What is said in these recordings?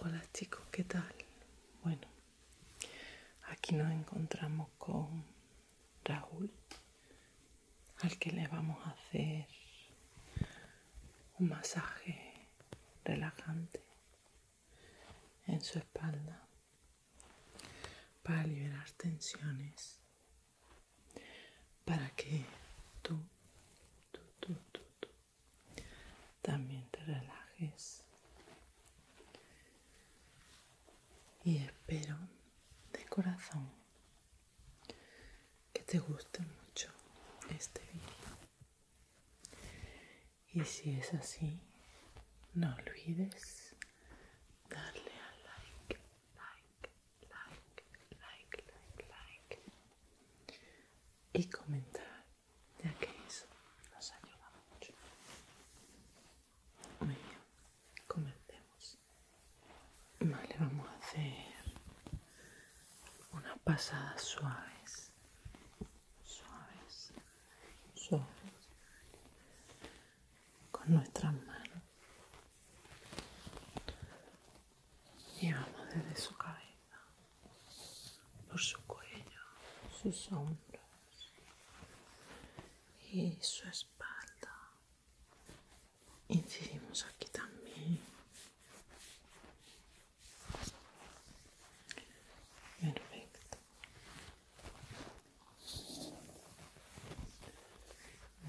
Hola chicos, ¿qué tal? Bueno, aquí nos encontramos con Raúl, al que le vamos a hacer un masaje relajante en su espalda para liberar tensiones, para que tú, tú, también te relajes. Y espero de corazón que te guste mucho este vídeo y si es así, no olvides darle a like, like, like, like, like, like y comentar, ya que eso nos ayuda mucho. Muy bien, comencemos. Vale, vamos a hacer unas pasadas suaves suaves, suaves, con nuestras manos. Y vamos desde su cabeza, por su cuello, sus hombros y su espalda. Incidimos aquí también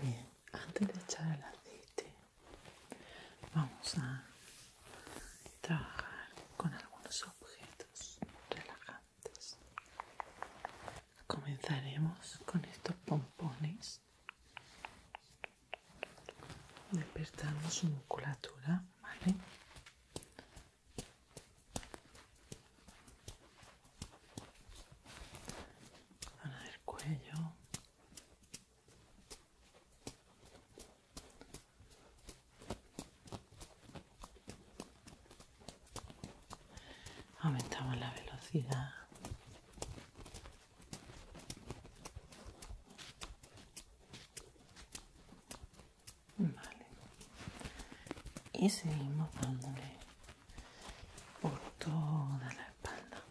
Bien, antes de echar el aceite, vamos a trabajar con algunos objetos relajantes. Comenzaremos con estos pompones. despertamos su musculatura ¿vale? Zona del cuello. Aumentamos la velocidad. Y seguimos dándole por toda la espalda.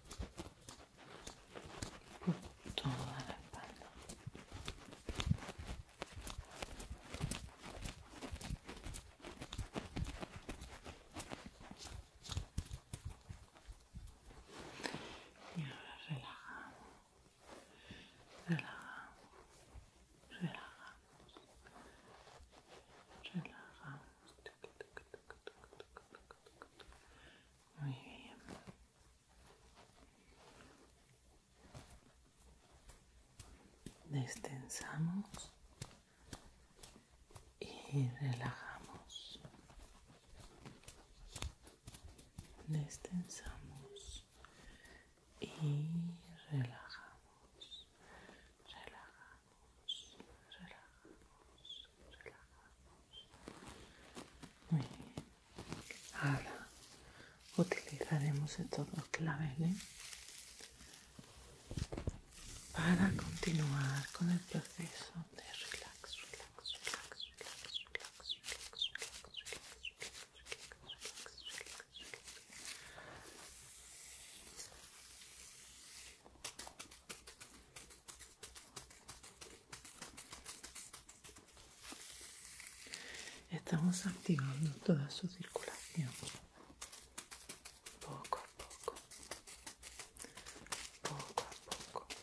Por toda la espalda. Y ahora relajamos relajamos, relajamos, relajamos. Muy bien. Destensamos y relajamos destensamos y relajamos, relajamos, relajamos, relajamos. Muy bien. Ahora utilizaremos estos dos claveles para continuar con el proceso de relax, relax, relax, relax, relax, Estamos activando toda su circulación. Poco a poco. Poco a poco.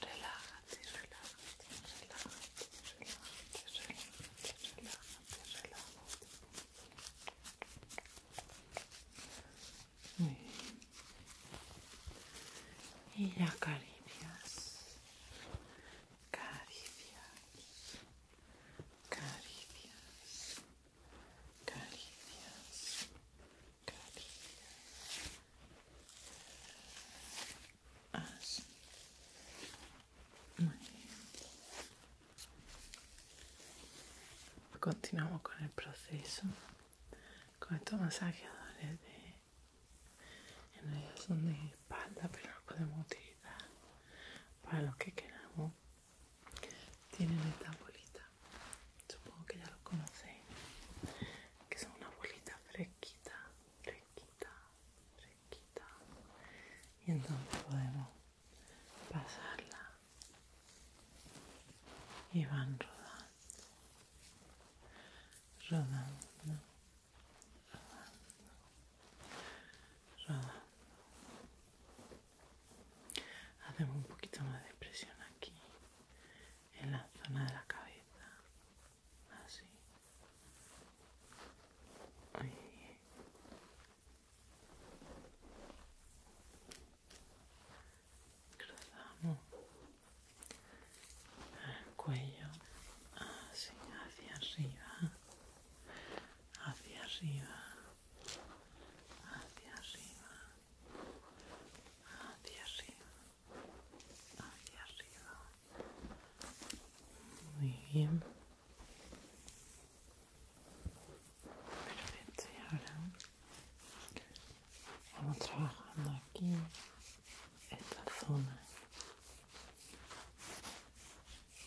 Relájate, relájate, relájate, relájate, relájate, relájate, relájate. Muy bien. Y Caricias, caricias, caricias. Así. Muy bien. Continuamos con el proceso. Con estos masajeadores de... En son de espalda, pero los podemos utilizar para los que queramos tienen esta bolita supongo que ya lo conocéis que son una bolita fresquita fresquita fresquita y entonces podemos pasarla y van rodando rodando rodando Hacemos un poquito más de presión aquí, en la zona de la cabeza. Así. Cruzamos el cuello así hacia arriba hacia arriba, hacia arriba, hacia arriba, hacia arriba. Muy bien. Perfecto, y ahora vamos trabajando aquí esta zona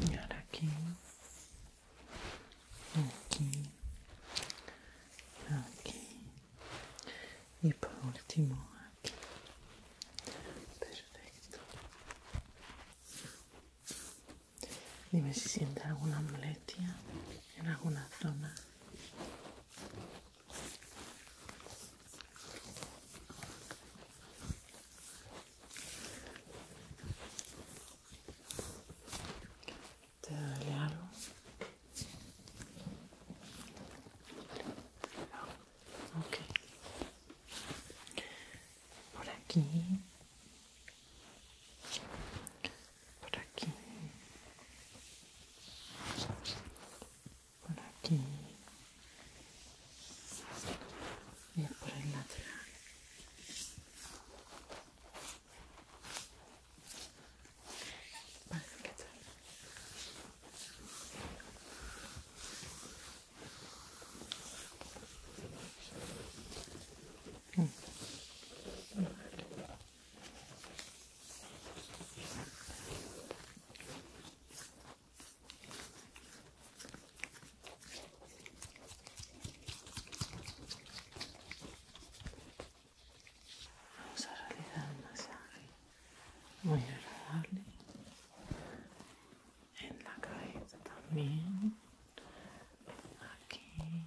Y ahora aquí, aquí, aquí y por último aquí. Perfecto. Dime si siente alguna molestia en alguna zona. ¿Te duele algo? Okay. Ok. Por aquí. Por aquí por aquí y por el lateral parece que tal mm. vale. Vamos a realizar un masaje muy agradable en la cabeza también. Aquí.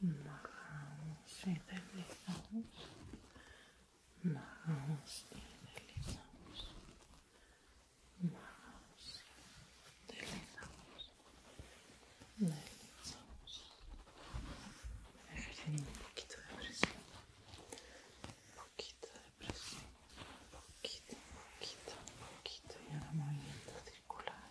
bajamos y deslizamos, bajamos y deslizamos, deslizamos, deslizamos, un poquito de presión, un poquito de presión, poquito, un poquito, un poquito y ahora movimiento circular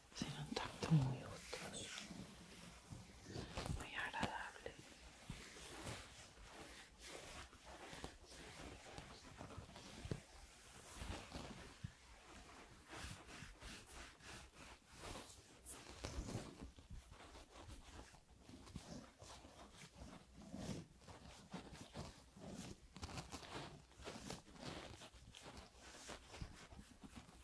Será un tacto muy gustoso, muy agradable.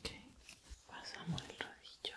Okay, pasamos el rodillo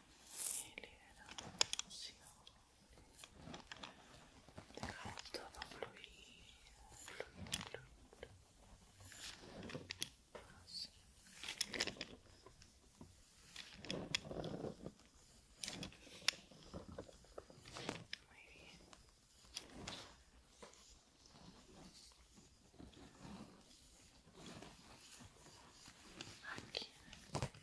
Aceleración. Dejar todo fluido Así. Muy bien.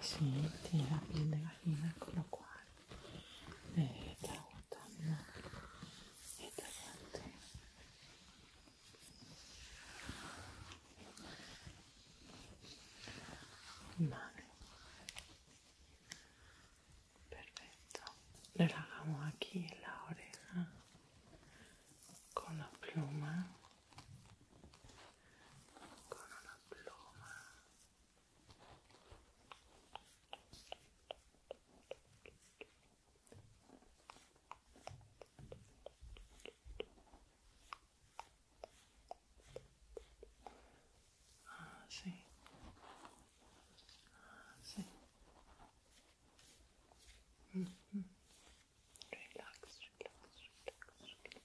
sí, tiene la piel de gallina, con lo cual le está gustando esta parte. Vale. Perfecto. Relajamos aquí la oreja con la pluma con ah, una pluma así así ah, mm, mm. relax relax relax relax, relax, relax, relax.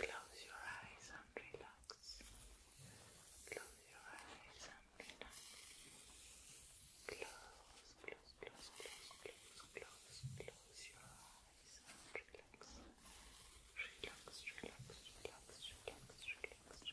Close your eyes and relax. Close your eyes and relax. Close, close, close, close, close, close, close your eyes and relax. Relax, relax, relax, relax, relax,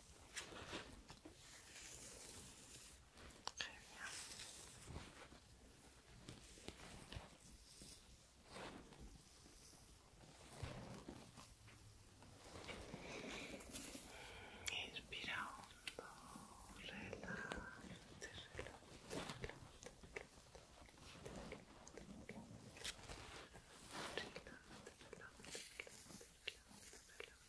Genial. Inspira hondo, relájate, relájate, relájate, relájate, relájate, relájate,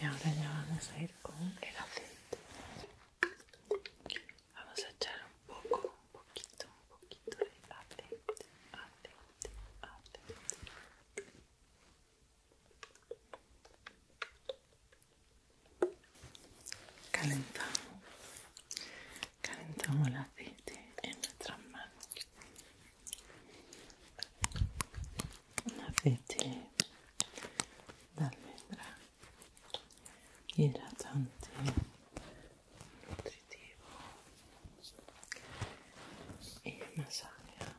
y ahora ya vamos a ir con el aceite. Vamos a echar un poco, un poquito, un poquito de aceite, aceite, aceite. Calentamos, calentamos el aceite en nuestras manos. Un aceite de almendra hidratante, nutritivo y masaje.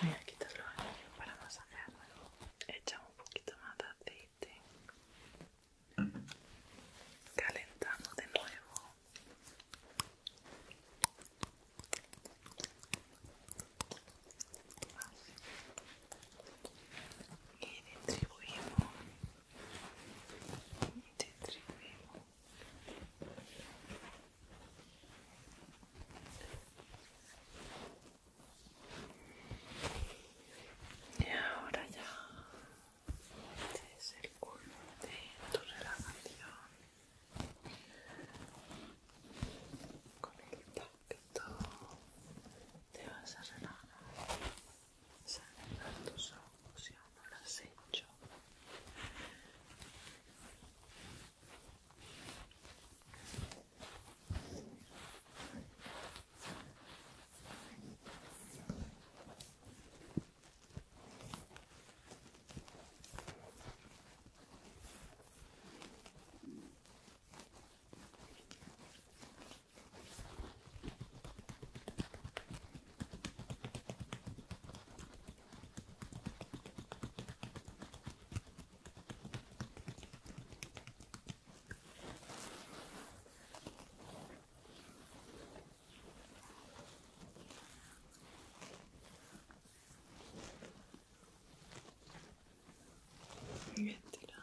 Voy a quitar para masajearlo. Echamos un poquito más de aceite. Calentamos de nuevo. Y distribuimos te Y ahora ya este es el de tu relajación con el tacto te vas a relajar, cerrar tus ojos si aún no lo has hecho. Bien tirado.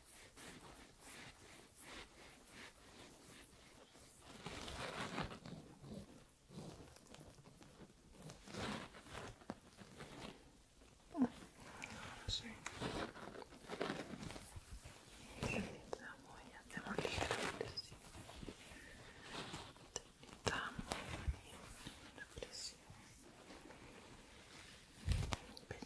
Sí. Necesitamos y ligeramente así. la Pero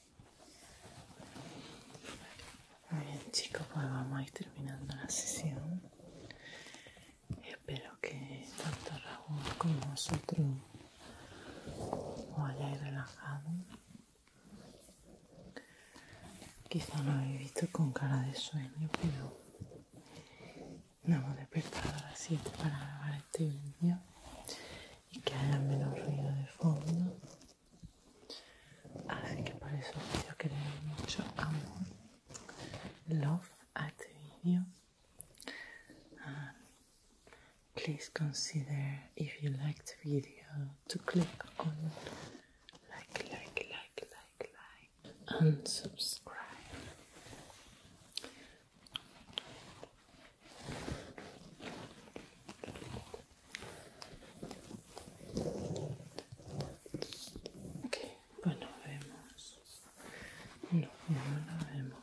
Muy bien chicos, pues vamos a ir terminando la sesión. Espero que tanto Raúl como vosotros os hayáis relajado. Quizá lo habéis visto con cara de sueño, pero nos hemos despertado a las 7 para grabar este vídeo y que haya menos ruido de fondo. please consider if you like the video to click on like, like, like, like, like, and subscribe. Ok, pues vemos. Nos vemos, nos vemos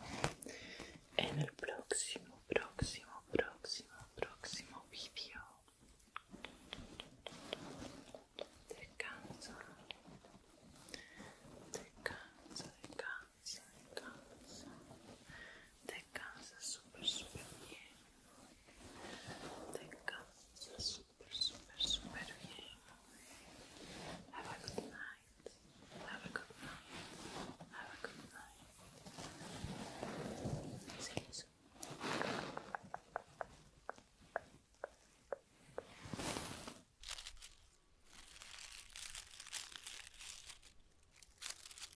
en el próximo, próximo, próximo, próximo video. Descansa. Descansa, descansa, descansa. te casa super super bien te casa super super super bien have a good night have a good night have a good night see you soon